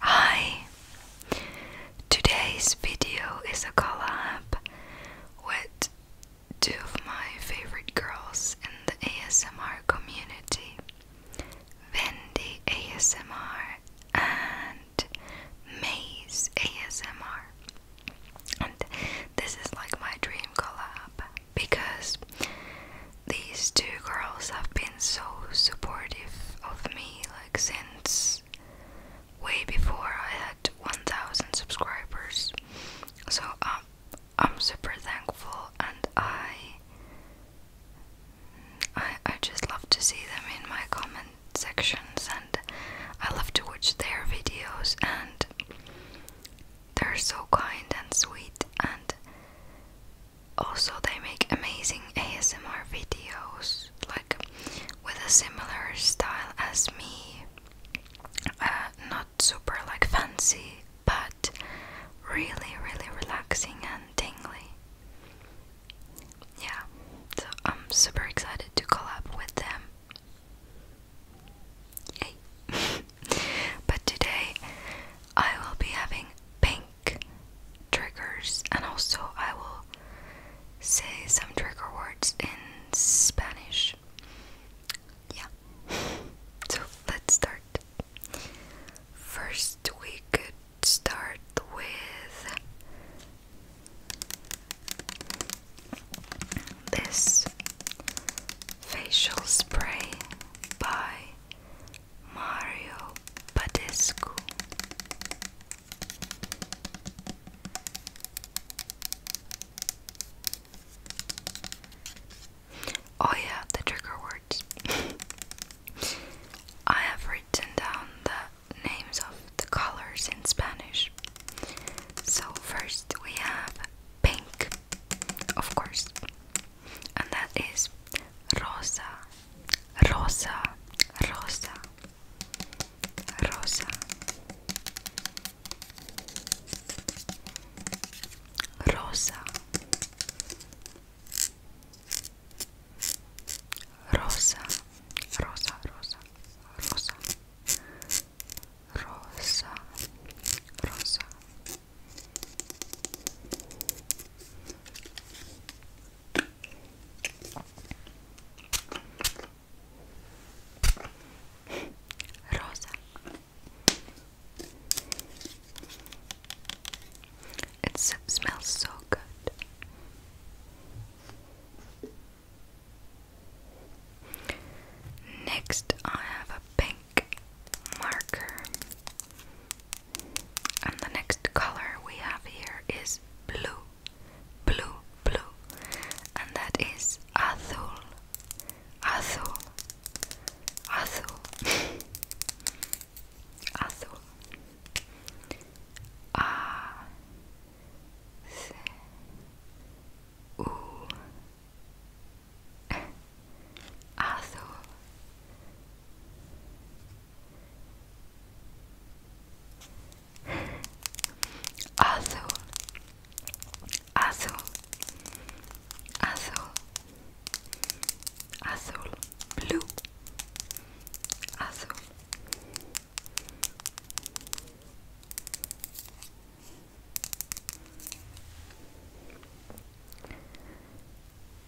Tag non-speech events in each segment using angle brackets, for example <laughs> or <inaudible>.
Hi! Today's video is a collab with two of my favorite girls in the ASMR community Wendy ASMR and Maze ASMR. And this is like my dream collab because these two girls have been so supportive of me like since way before I had 1000 subscribers. So um, I'm super thankful and I I I just love to see them in my comment sections and I love to watch their videos and they're so kind and sweet and also, they make amazing ASMR videos, like with a similar style as me. Uh, not super like fancy, but really, really relaxing and tingly. Yeah, so I'm super excited to collab with them. <laughs> But today I will be having pink triggers and also I will say some trigger words in Spanish. Yeah. <laughs> So let's start. First, we could start with this facial spray by Mario Badescu Oh yeah, the trigger words. <laughs> I have written down the names of the colors in Spanish. So first we have pink, of course and that is rosa, rosa, rosa, rosa, rosa, rosa, rosa, rosa, rosa. Rosa, rosa, Rosa. It smells so good. Next, I have a pink pink marker. And the next color we have here is blue, blue, blue, and that is azul, azul, azul, <laughs> azul. A C U Arthur. Arthur. Azul, azul, azul, blue, azul,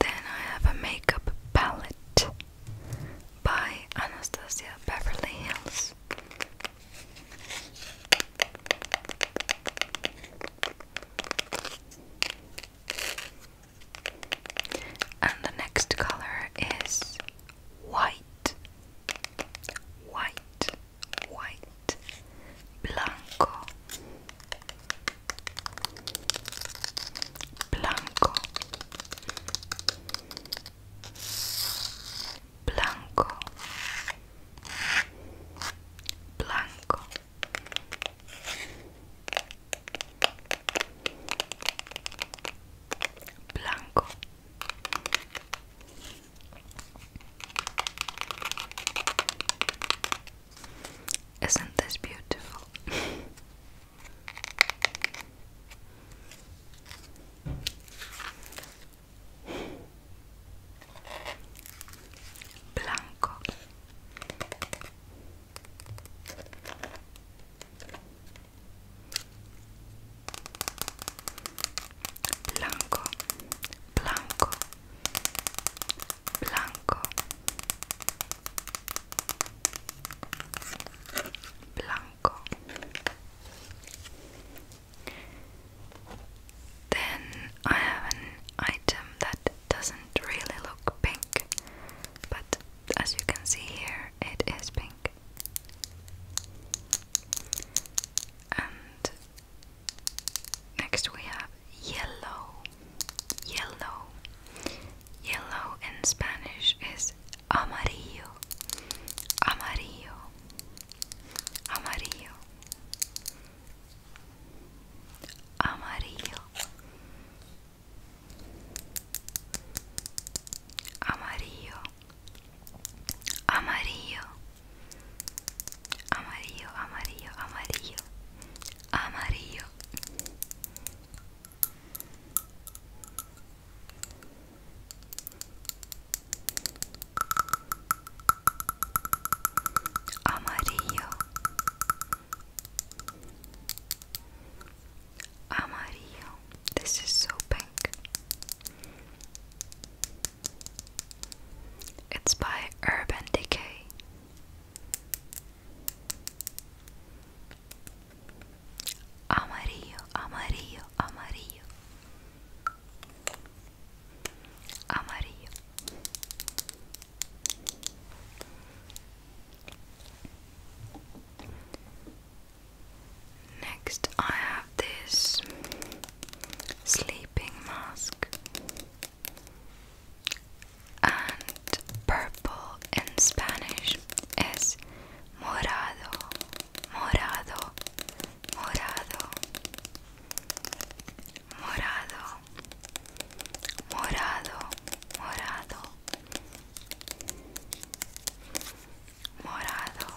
then I have a makeup palette by Anastasia Beverly Hills. And the next color is white. White. white, blanco, blanco, blanco, blanco. Blanco blanco Isn't this beautiful? Blanco. Blanco, blanco, blanco, blanco. Then I have an item that doesn't really look pink, but as you can see here, it is pink. And Next we have yellow. Yellow. Yellow in Spanish is amarillo. Amarillo. Amarillo. Amarillo. Amarillo. Amarillo. Amarillo, amarillo, amarillo. Amarillo. Amarillo. This is so pink. It's by Urban Decay. Amarillo, amarillo, amarillo. Amarillo. Next, I have this sleeping mask and purple in Spanish is morado, morado, morado, morado, morado, morado, morado.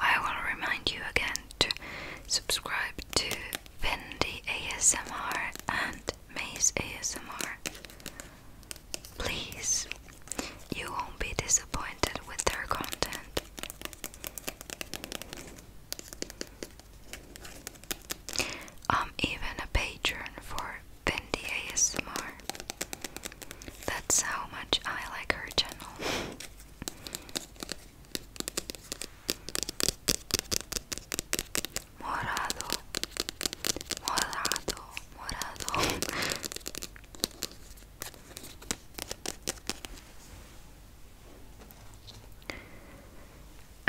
I will remind you again to subscribe to Bendy ASMR and Maze ASMR. Please, you won't be disappointed with their content. I'm even a patron for Vindy ASMR. That's how much I like her channel. morado, morado, morado.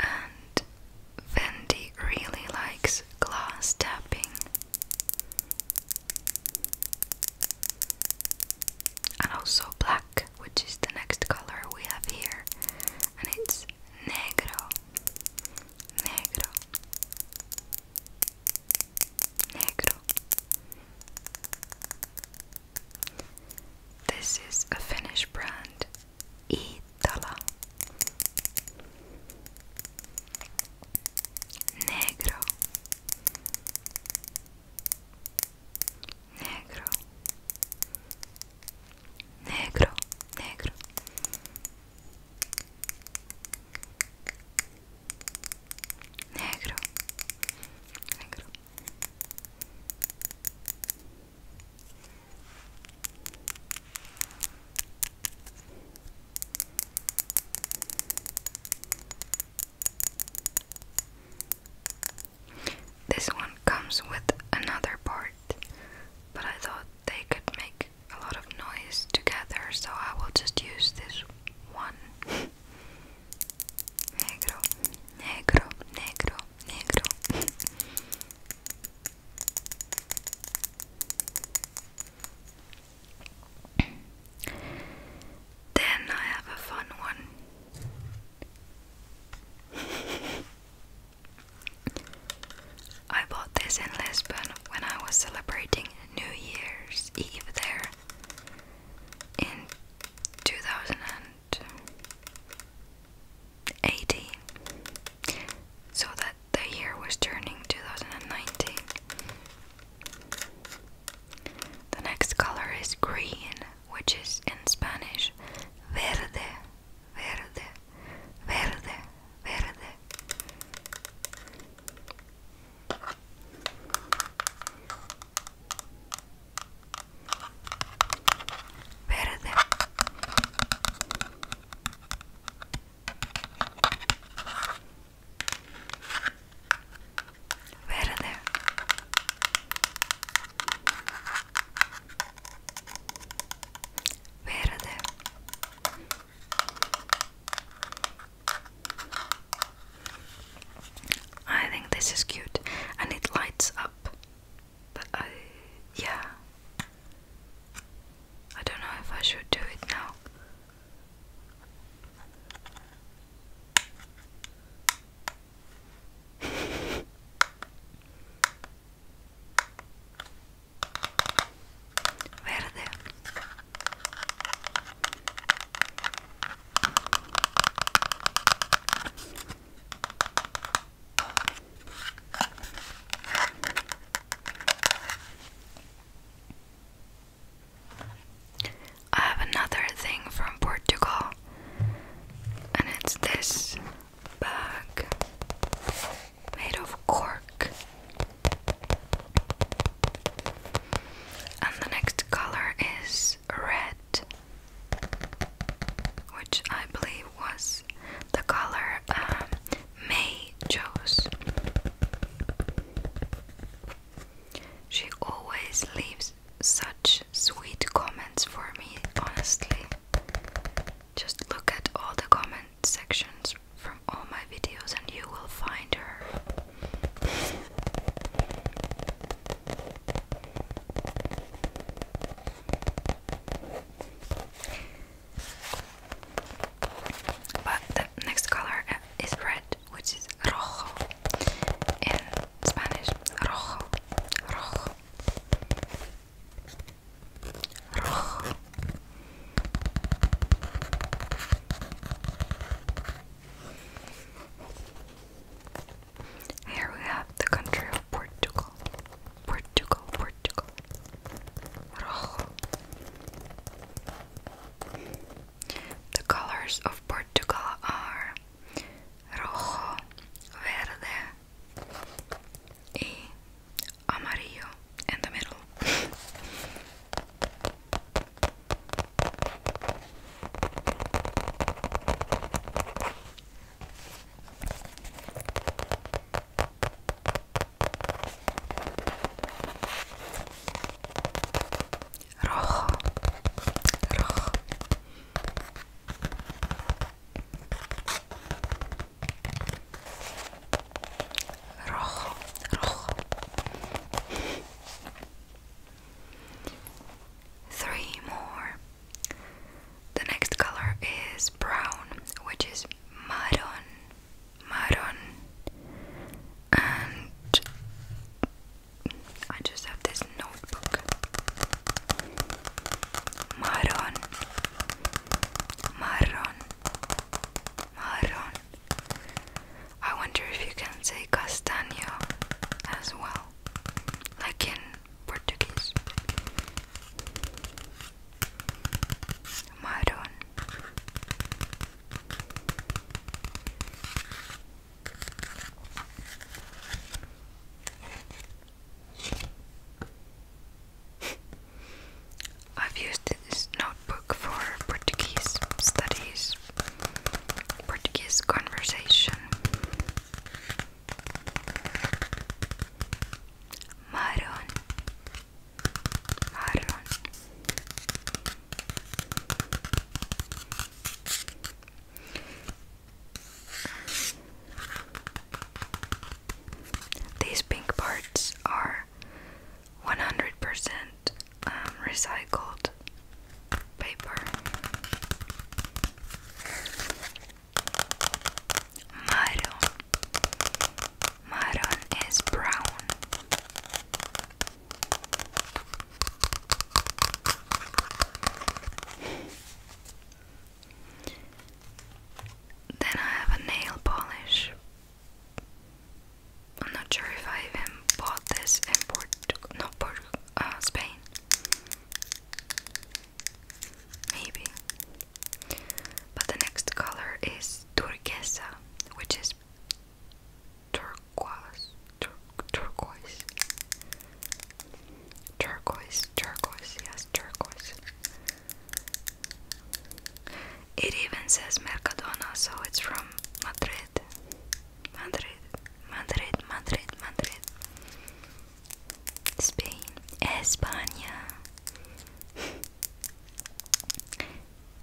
<laughs> and Fendi really likes glass tapping and also black, which is the next color we have here, and it's negro, negro, negro. This is a Finnish brand, Itala. negro negro negro negro negro negro This one comes with another part, but I thought they could make a lot of noise together, so I will just use this one. <laughs> negro, negro, negro, negro. <laughs> Then I have a fun one. I bought this in Lisbon when I was celebrating New Year's Eve there in 2018. So that the year was turning 2019. The next color is green, which is in Spanish verde, verde, verde, verde. Verde. Where are I think this is cute and it lights up. But I, yeah, I don't know if I should do it now. Verde. I have another thing from Portugal, and it's this bag made of cork. And the next color is red, which I believe was the color um, May chose. She always leaves such sweet comments for me, honestly. Just look at all the comment sections from all my videos, and you will find her. But the next color uh, is red, which is rojo in Spanish. Rojo, rojo, rojo. Here we have the country of Portugal. Portugal, Portugal. The colors of Portugal are rojo, verde, y amarillo in the middle. Rojo, rojo. Rojo, rojo. Three more. The next color is brown, which is marron, marron, and I just have this notebook. Marron, marron, marron. I wonder if you can say castanho as well, like in Portuguese maroon I've used this notebook for Portuguese studies, Portuguese conversation, Marron, marron, these pink parts are 100% um, recycled paper. Maroon. Maroon is brown. Then I have a nail polish. I'm not sure if I even bought this in Port, no, Port, uh, Spain. Maybe. But the next color is turquesa, which is turquoise, turquoise, turquoise, turquoise, yes, turquoise. It even says Mercadona, so it's from Madrid. Madrid, Madrid, Madrid, Madrid. Spain, España,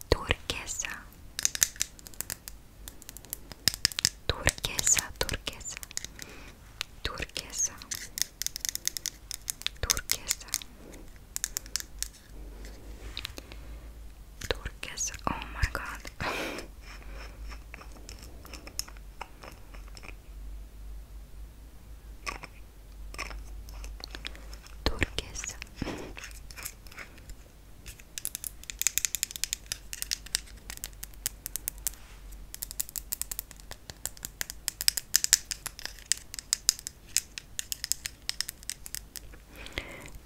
turquesa, turquesa, turquesa, turquesa, turquesa, turquesa. Oh my God turquesa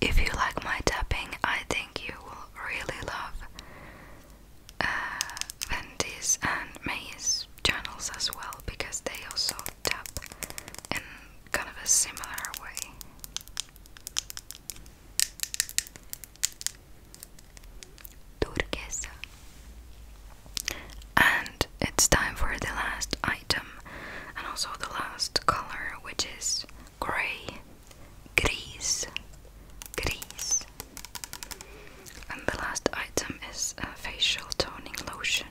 If you like my tapping, I think you will really love uh, and May's channels as well because they also tap in kind of a similar way. Turquesa. And it's time for the last item and also the last color, which is grey. Gris. Gris. And the last item is a facial toning lotion.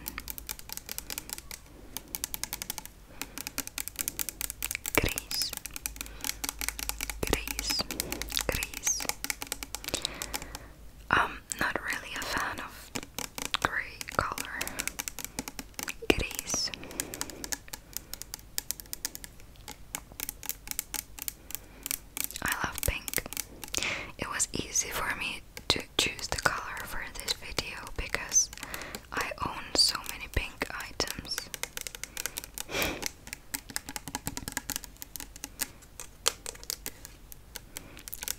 Grease, grease, grease. I'm not really a fan of grey color. Grease. I love pink. It was easy for me to choose the color for this video because I own so many pink items.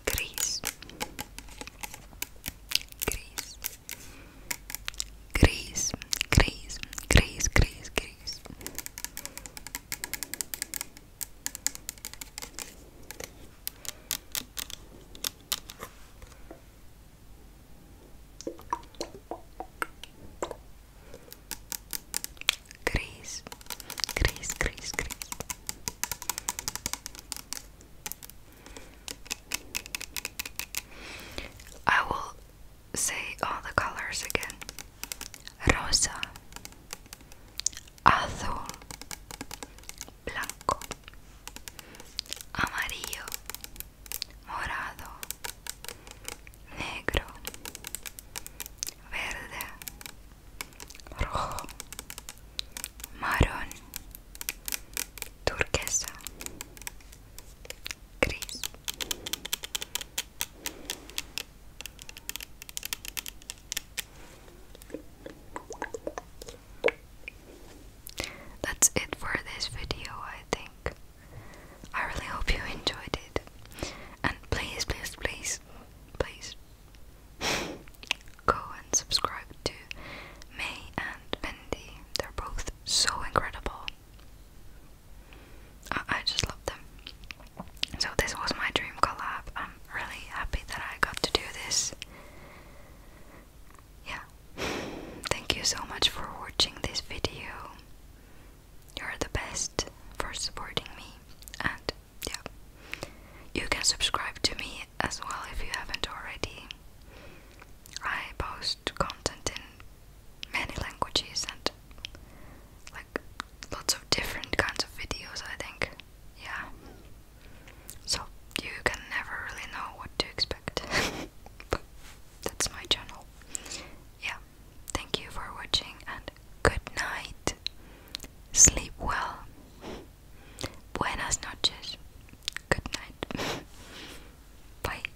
Gris. Gris. Gris. Gris. Gris. Gris. Gris. Grace, Grace, Grace, Grace. I will say all the colors again. rosa, azul, blanco, amarillo, morado, negro, verde, rojo, marrón, turquesa, gris. That's it for this video, I think. I really hope you enjoyed it. And please, please, please, please <laughs> go and subscribe to May and Mindy. They're both so incredible. I, just love them. So this was my dream collab. I'm really happy that I got to do this. Yeah. <sighs> Thank you so much for watching this video. You're the best for supporting me and yeah. You can subscribe to me as well if you haven't already. I post content in many languages and like lots of different kinds of videos, I think. Yeah. So you can never really know what to expect. <laughs> that's my channel. Yeah. Thank you for watching and good night. Sleep well. Buenas noches. Good night. <laughs> Bye.